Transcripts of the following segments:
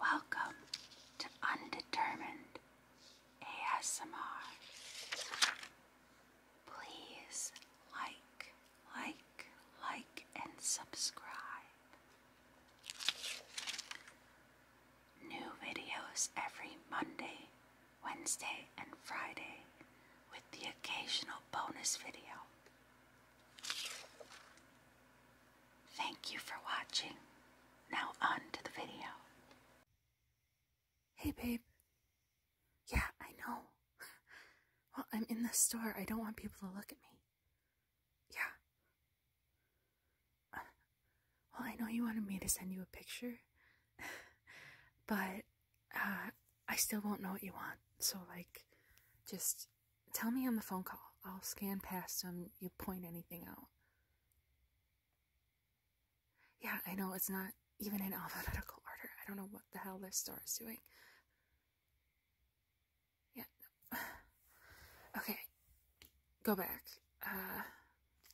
Welcome to Undetermined ASMR. Please like, like, like, and subscribe. New videos every Monday, Wednesday, and Friday with the occasional bonus video. Thank you for watching. Now on to the video. Hey babe. Yeah, I know. Well, I'm in the store. I don't want people to look at me. Yeah. Uh, well, I know you wanted me to send you a picture, but uh, I still won't know what you want. So, like, just Tell me on the phone call. I'll scan past them. You point anything out. Yeah, I know it's not even in alphabetical order. I don't know what the hell this star is doing. Yeah. Okay. Go back. Uh,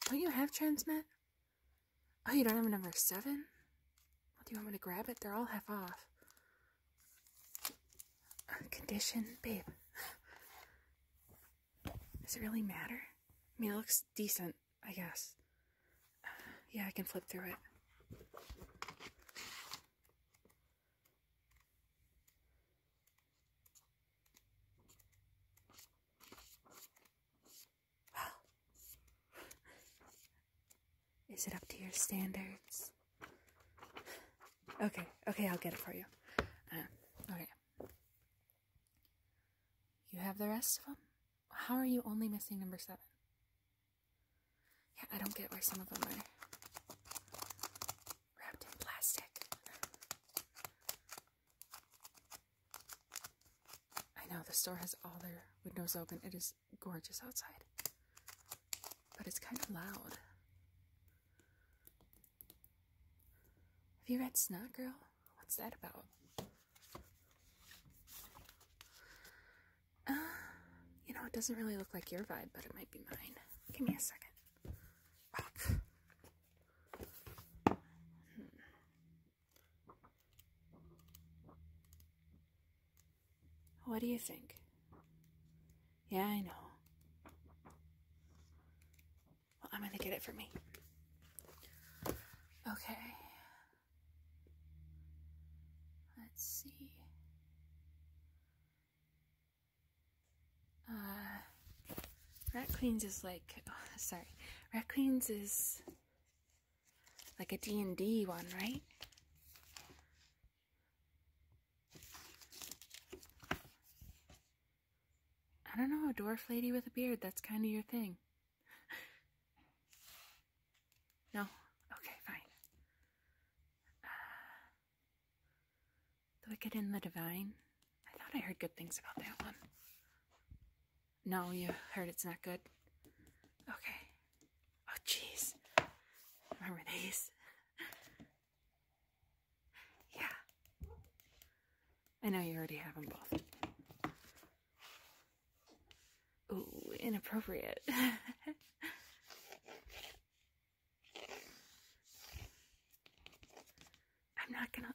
don't you have transmit? Oh, you don't have number seven? do you want me to grab it? They're all half off. Condition, babe. Does it really matter? I mean, it looks decent, I guess. yeah, I can flip through it. Is it up to your standards? Okay, okay, I'll get it for you. Uh, okay. You have the rest of them? How are you only missing number seven? Yeah, I don't get why some of them are wrapped in plastic. I know, the store has all their windows open. It is gorgeous outside but it's kind of loud. Have you read Snot Girl? What's that about? Uh, you know, it doesn't really look like your vibe, but it might be mine. Give me a second. What do you think? Yeah, I know. Well, I'm going to get it for me. Okay. Let's see. Uh, Rat Queens is like, sorry. Rat Queens is like a D&D one, right? I don't know, a dwarf lady with a beard, that's kind of your thing. no? Okay, fine. Uh, the Wicked in the Divine. I thought I heard good things about that one. No, you heard it's not good? Okay. Oh, jeez. Remember these? yeah. I know you already have them both. Ooh, inappropriate. I'm not gonna...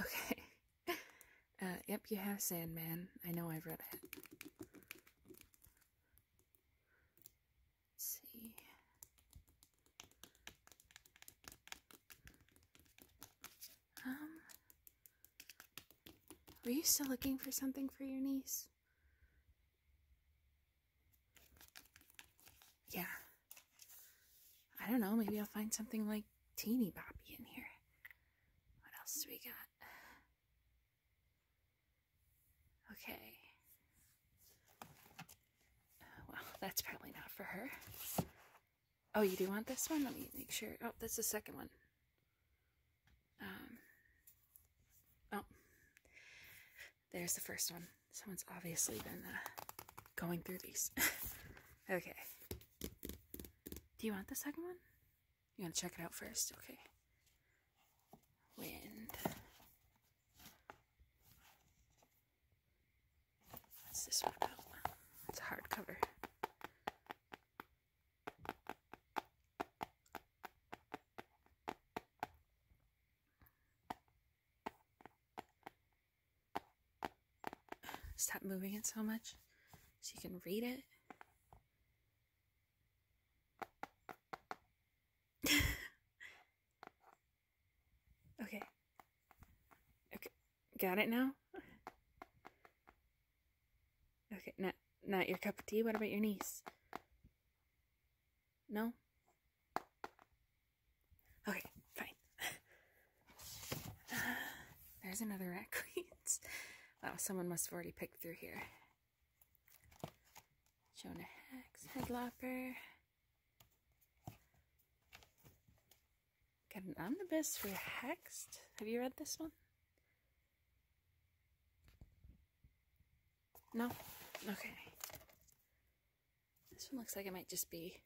Okay. Uh, yep, you have Sandman. I know I've read it. see. Um, were you still looking for something for your niece? Yeah. I don't know, maybe I'll find something like Teeny Boppy in here. What else do we got? Okay. Well, that's probably not for her. Oh, you do want this one? Let me make sure. Oh, that's the second one. Um, oh, there's the first one. Someone's obviously been uh, going through these. okay. Do you want the second one? You want to check it out first? Okay. Wind. What's this one about? It's a hardcover. Stop moving it so much so you can read it. okay. Okay. Got it now? Okay, not not your cup of tea. What about your niece? No? Okay, fine. There's another rat queens. Wow, someone must have already picked through here. Jonah Hex, Headlopper. Got an omnibus for Hexed. Have you read this one? No? Okay. This one looks like it might just be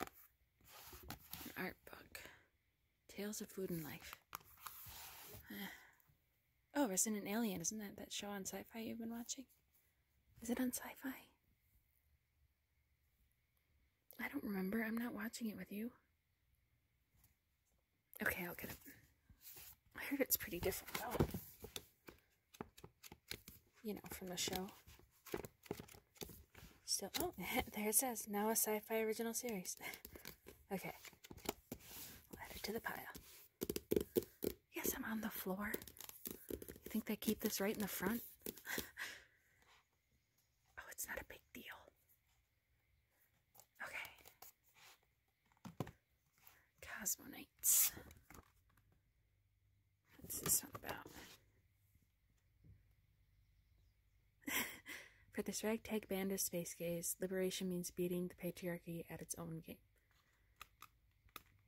an art book. Tales of Food and Life. Uh, oh, Resident Alien, isn't that that show on sci-fi you've been watching? Is it on sci-fi? I don't remember. I'm not watching it with you. Okay, I'll get it. I heard it's pretty different, though. You know, from the show. So, oh, there it says, now a sci-fi original series. okay. I'll add it to the pile. Yes, I'm on the floor. You think they keep this right in the front? oh, it's not a big deal. Okay. Cosmonauts. this one about? For this ragtag band of space gays, liberation means beating the patriarchy at its own game.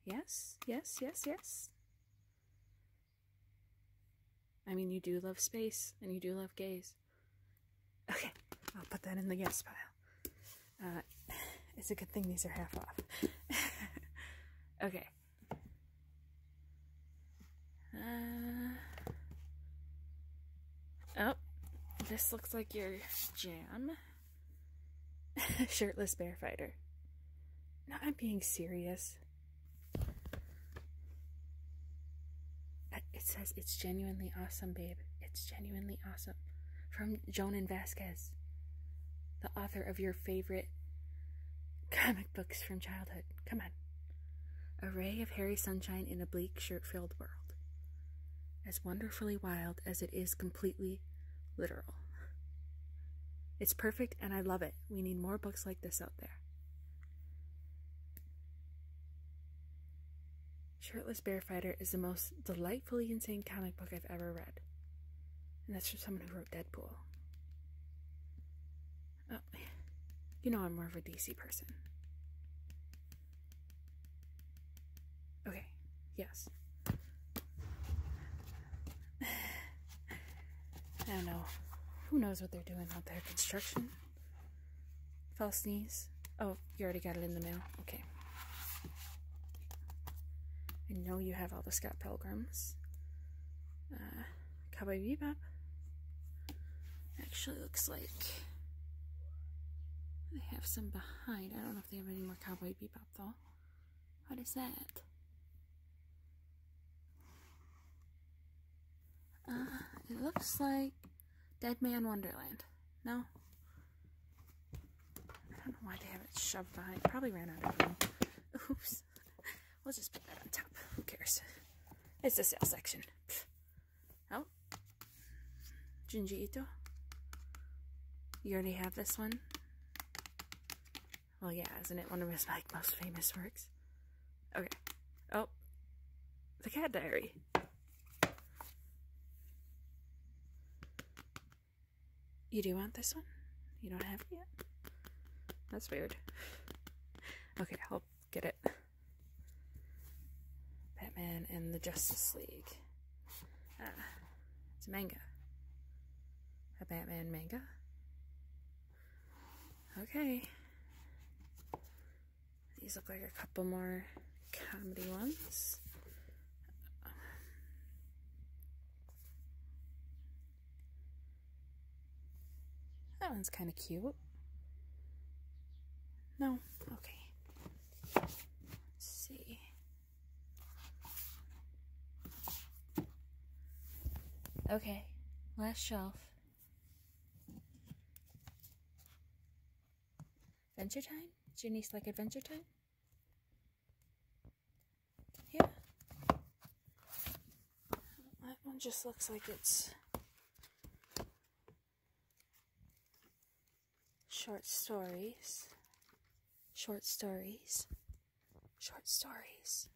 Yes, yes, yes, yes. I mean, you do love space, and you do love gays. Okay, I'll put that in the gifts pile. Uh, it's a good thing these are half off. okay. Uh, oh, this looks like your jam. Shirtless bear fighter. No, I'm being serious. It says it's genuinely awesome, babe. It's genuinely awesome. From Joan and Vasquez, the author of your favorite comic books from childhood. Come on. A ray of hairy sunshine in a bleak, shirt filled world. As wonderfully wild as it is completely literal. It's perfect and I love it. We need more books like this out there. Shirtless Bear Fighter is the most delightfully insane comic book I've ever read. And that's from someone who wrote Deadpool. Oh, you know I'm more of a DC person. Okay, yes. I don't know. Who knows what they're doing out there? Construction? False knees. Oh, you already got it in the mail. Okay. I know you have all the Scott Pilgrims. Uh, Cowboy Bebop actually looks like they have some behind. I don't know if they have any more Cowboy Bebop though. What is that? Uh, it looks like Dead Man Wonderland. No? I don't know why they have it shoved on. It probably ran out of room. Oops. We'll just put that on top. Who cares? It's the sale section. Oh. Junji You already have this one. Well, yeah, isn't it one of his like most famous works? Okay. Oh, the Cat Diary. You do want this one? You don't have it yet? That's weird. Okay, I'll get it. Batman and the Justice League. Ah, it's a manga. A Batman manga. Okay. These look like a couple more comedy ones. That one's kind of cute. No? Okay. Let's see. Okay, last shelf. Adventure Time? Does your niece like Adventure Time? Yeah. That one just looks like it's short stories. Short stories. Short stories.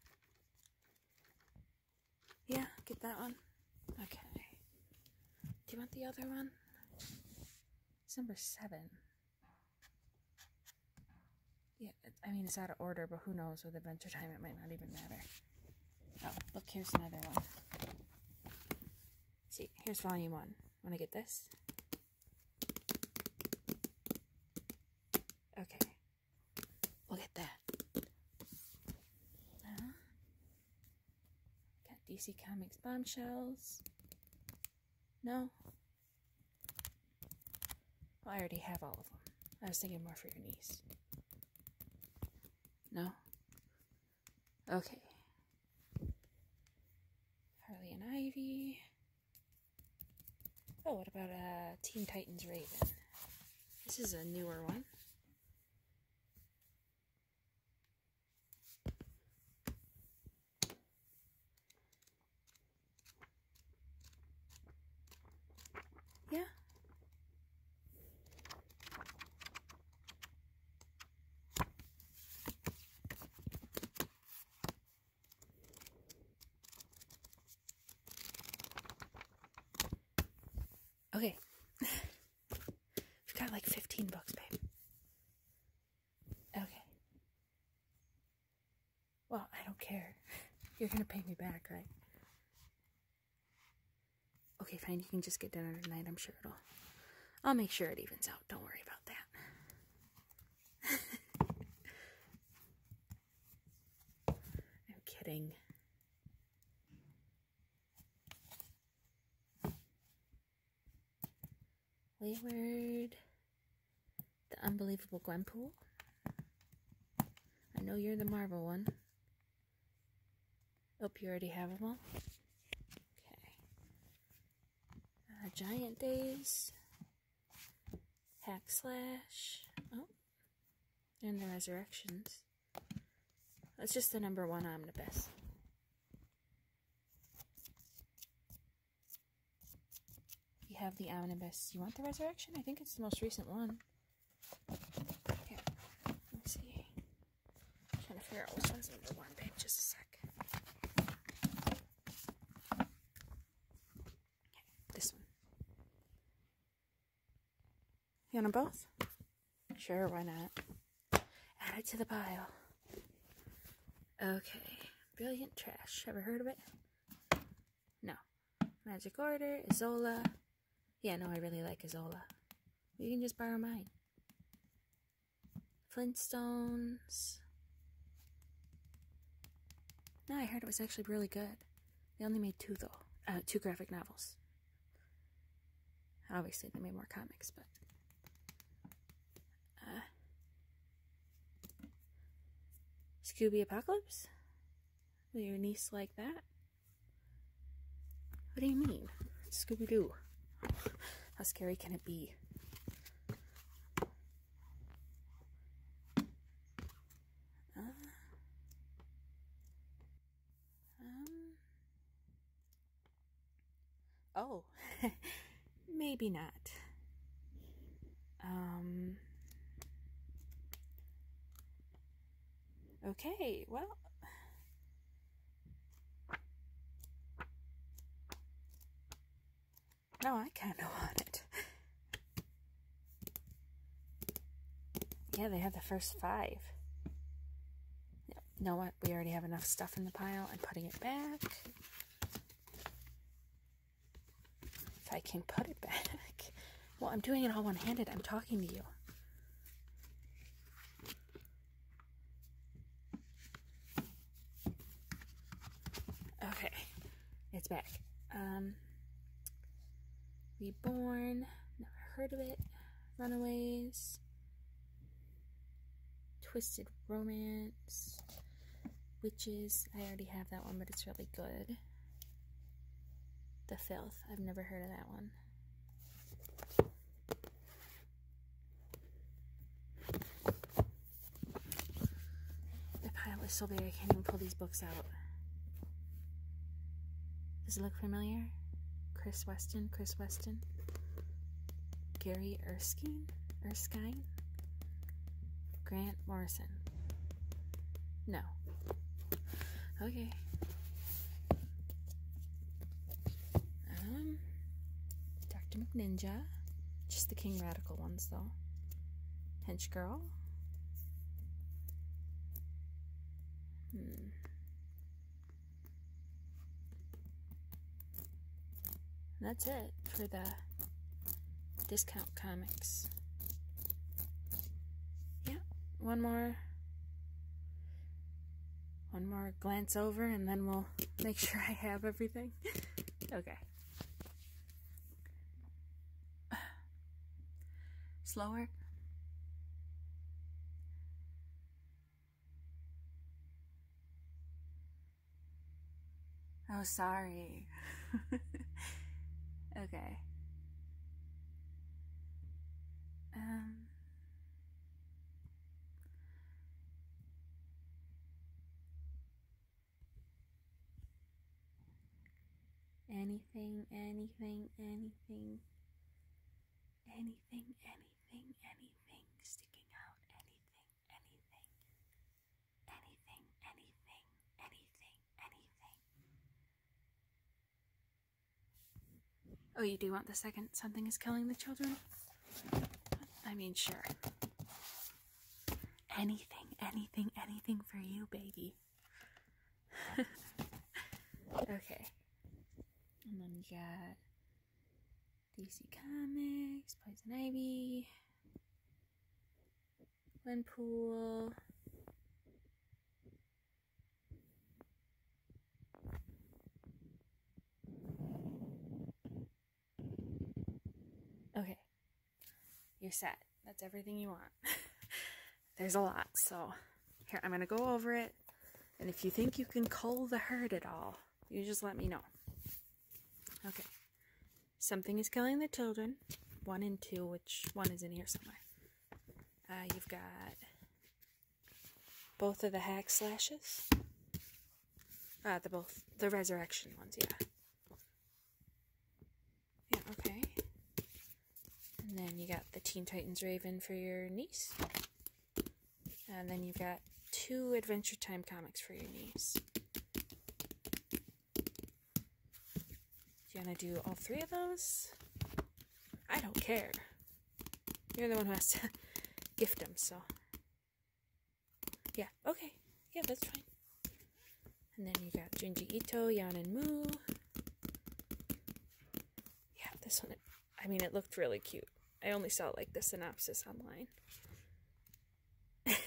Yeah, get that one. Okay. Do you want the other one? It's number seven. Yeah, I mean, it's out of order, but who knows? With Adventure Time, it might not even matter. Oh, look, here's another one. See, here's volume one. Want to get this? Okay. Look at that. got DC Comics bombshells. No. I already have all of them. I was thinking more for your niece. No? Okay. Harley and Ivy. Oh, what about a uh, Teen Titans Raven? This is a newer one. Yeah. Okay. We've got like 15 bucks, babe. Okay. Well, I don't care. You're gonna pay me back, right? Okay, fine. You can just get dinner tonight. I'm sure it'll. I'll make sure it evens out. Don't worry about that. I'm kidding. Wayward, the unbelievable Gwenpool. I know you're the Marvel one. Oh, you already have them all? Okay. Uh, giant Days hack slash. Oh, and the resurrections. That's just the number one omnibus. You have the omnibus. You want the resurrection? I think it's the most recent one. Here, let's see. trying to figure out which one's number one, Just a sec. This one. You want them both? Sure, why not? Add it to the pile. Okay. Brilliant Trash. Ever heard of it? No. Magic Order, Isola. Yeah, no, I really like Isola. You can just borrow mine. Flintstones. No, I heard it was actually really good. They only made two, though. Uh, two graphic novels. Obviously, they made more comics, but... Uh, Scooby Apocalypse? Will your niece like that? What do you mean? Scooby-Doo. How scary can it be? Uh, um, oh, maybe not. Um, okay, well, no, I kind of want it. Yeah, they have the first five. No, what? We already have enough stuff in the pile. I'm putting it back. If I can put it back. Well, I'm doing it all one-handed. I'm talking to you. Okay, it's back. Um, Reborn, never heard of it. Runaways, Twisted Romance, Witches. I already have that one, but it's really good. The Filth. I've never heard of that one. The pile is so big I can't even pull these books out. Does it look familiar? Chris Weston, Chris Weston, Gary Erskine, Erskine, Grant Morrison. No. Okay. Um, Dr. McNinja. Just the King Radical ones, though. Hench Girl. Hmm. That's it for the discount comics. Yeah, one more one more glance over and then we'll make sure I have everything. Okay. Slower. Oh, sorry. okay. Um. Anything, anything, anything, anything, anything, anything sticking out, anything, anything, anything, anything, anything, Oh, you do want the second. Something is killing the children. I mean, sure. Anything, anything, anything for you, baby. okay. And then we got DC Comics, Poison Ivy, Gwenpool. Okay. You're set. That's everything you want. There's a lot, so here, I'm going to go over it. And if you think you can cull the herd at all, you just let me know. Okay. Something is killing the children. One and two, which one is in here somewhere. Uh, you've got both of the hack slashes? Ah, the both, the resurrection ones, yeah. Yeah, okay. And then you got the Teen Titans Raven for your niece. And then you've got two Adventure Time comics for your niece. Do you want to do all three of those? I don't care. You're the one who has to gift them, so yeah, okay. Yeah, that's fine. And then you got Junji Ito, Yan and Mu. Yeah, this one, I mean, it looked really cute. I only saw like the synopsis online.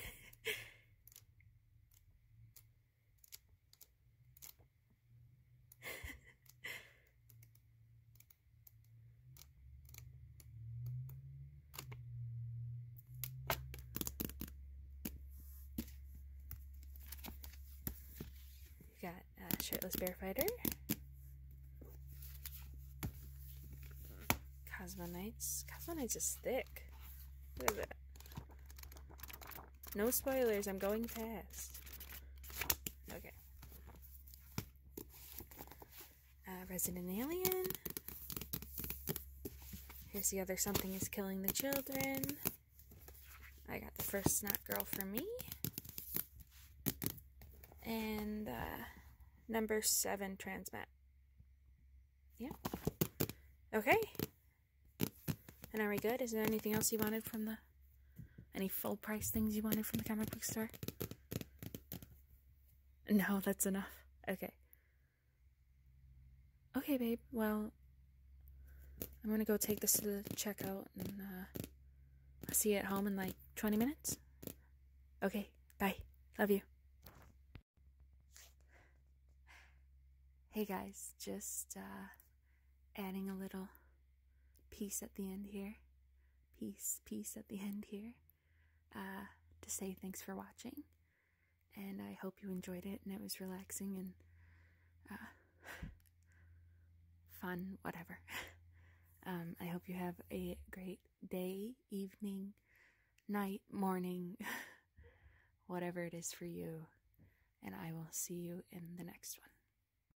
You got a Shirtless Bear Fighter, Cosmonites. Cosmonites is thick. Look at that. No spoilers, I'm going fast. Okay. Uh, resident Alien. Here's the other Something is Killing the Children. I got the first Snot Girl for me. And uh, number seven Transmet. Yeah. Okay. And are we good? Is there anything else you wanted from the any full price things you wanted from the camera book store? No, that's enough. Okay. Okay, babe. Well, I'm gonna go take this to the checkout and uh, I'll see you at home in like 20 minutes. Okay, bye. Love you. Hey guys, just uh, adding a little peace at the end here. Peace, peace at the end here. Uh, to say thanks for watching. And I hope you enjoyed it and it was relaxing and uh, fun, whatever. Um, I hope you have a great day, evening, night, morning, whatever it is for you. And I will see you in the next one.